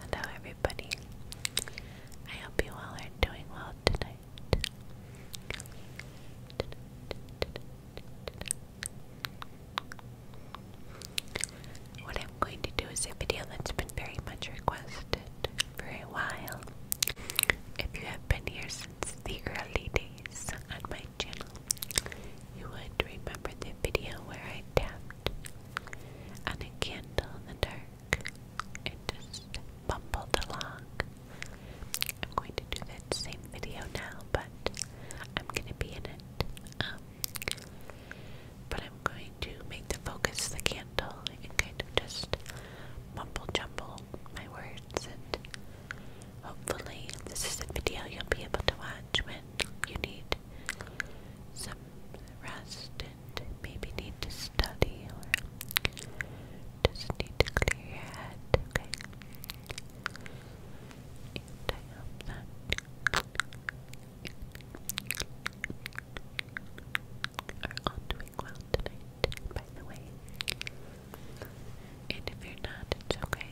Hello, everybody. I hope you all are doing well tonight. What I'm going to do is a video that's been very much requested for a while. If you have been here since the early days on my channel, you would remember the video where I tapped on a candle in the dark and just bumbled along. I'm going to do that same video now, but I'm going to be in it. Um, but I'm going to make the focus the candle and kind of just mumble jumble my words and Hopefully, this is a video you'll be able to watch when you need some rest and maybe need to study or just need to clear your head, okay? are all doing well tonight, by the way. And if you're not, it's okay.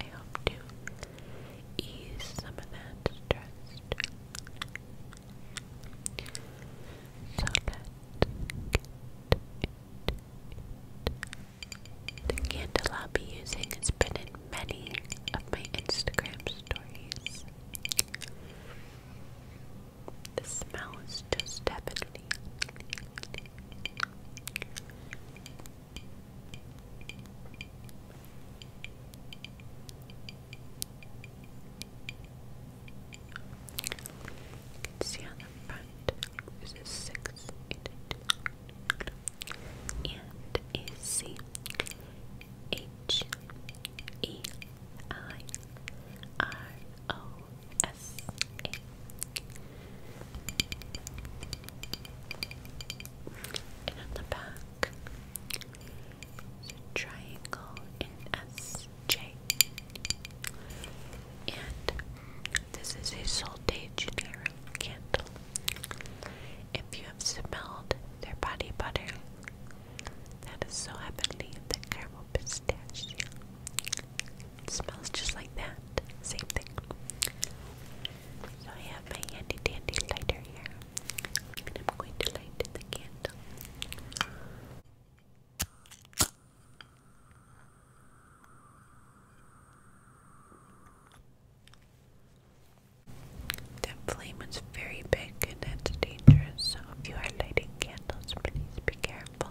I hope to ease some of that stress. So let The candle I'll be using has been in many of my Instagram stories. The smell is just heavenly. You front there's a six and a C H E I R O S A. And on the back, triangle in S J. And this is a Sol de candle. If you have smelled their body butter, that is so heavenly that caramel pistachio. It smells just like that. Same thing. So I have my handy dandy lighter here. And I'm going to light the candle. That flame is very big and that's dangerous, so if you are lighting candles, please be careful.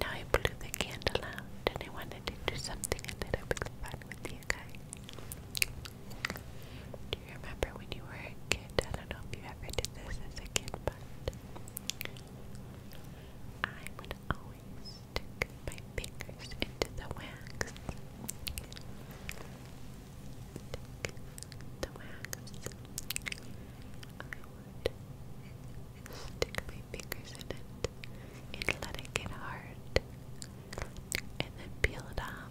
Now I blew the candle out and I wanted to do something a little bit fun with you guys. Do you remember when you were a kid? I don't know if you ever did this as a kid, but I would always stick my fingers into the wax. the wax. I would stick my fingers in it and let it get hard and then peel it off.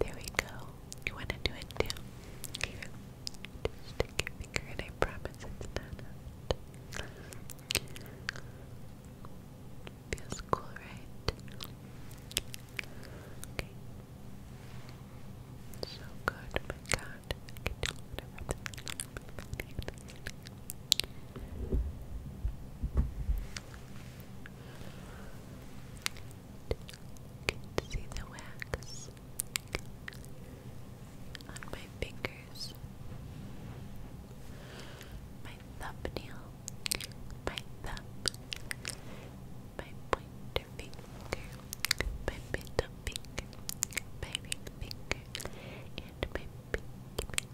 There we go. You want to do it too? Just stick your finger in. I promise it's not Feels cool, right? Okay. So good, oh my god can see the wax on my fingers, my thumbnail, my thumb, my pointer finger, my middle finger, my ring finger, and my pinky,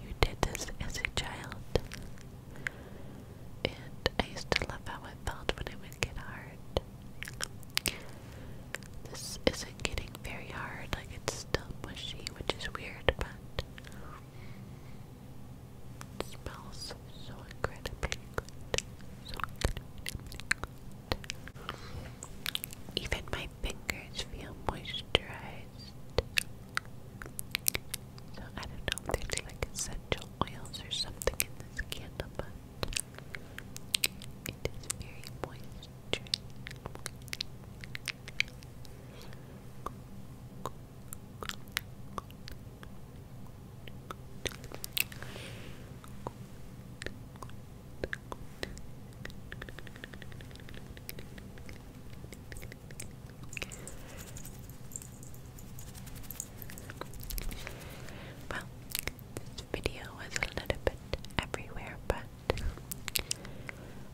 You did this as a child. And I used to love how it felt when it would get hard. This isn't getting very hard, like it's still mushy, which is weird, but smells So incredibly good. Even my fingers feel moisturized. So I don't know if there's like essential oils or something in this candle, but it is very moist. Well, this video was a little bit everywhere, but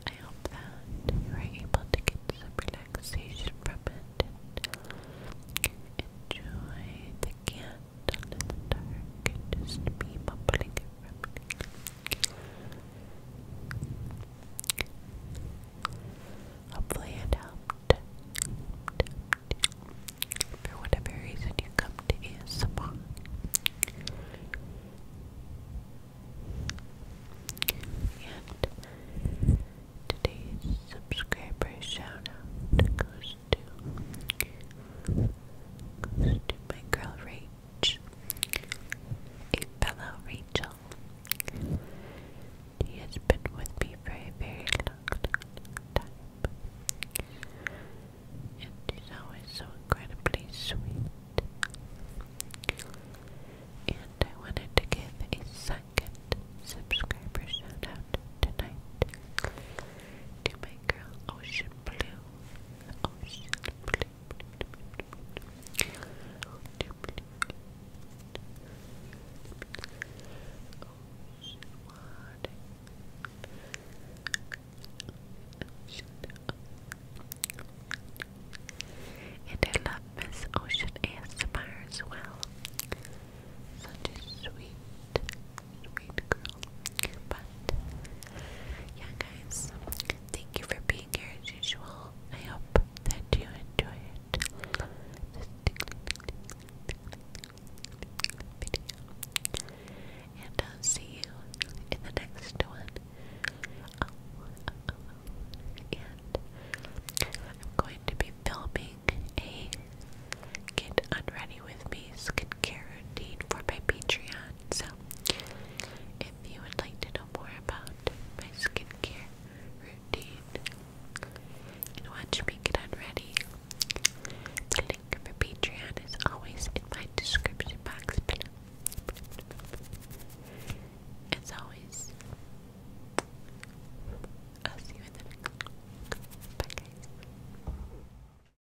I hope that you were able to get some relaxation from it and enjoy the candle the dark and just be bubbling and Hopefully it helped. For whatever reason you come to ASMR. And today's subscriber shout goes to to my girl Rach. H, a fellow Rachel. He has been with me for a very long, time. And he's always so incredibly sweet. And I wanted to give a second subscriber shout out tonight to my girl Ocean Blue. Ocean Blue. And I love Miss Ocean ASMR as well. Such a sweet, sweet girl. But yeah, guys, thank you for being here as usual. I hope that you enjoy it. And I'll see you in the next one. And I'm going to be filming a get unready with me skincare routine for my Patreon. So, if you would like to know more about my skincare routine and watch me get on ready, the link for Patreon is always in my description box As always, I'll see you in the next one. Bye guys.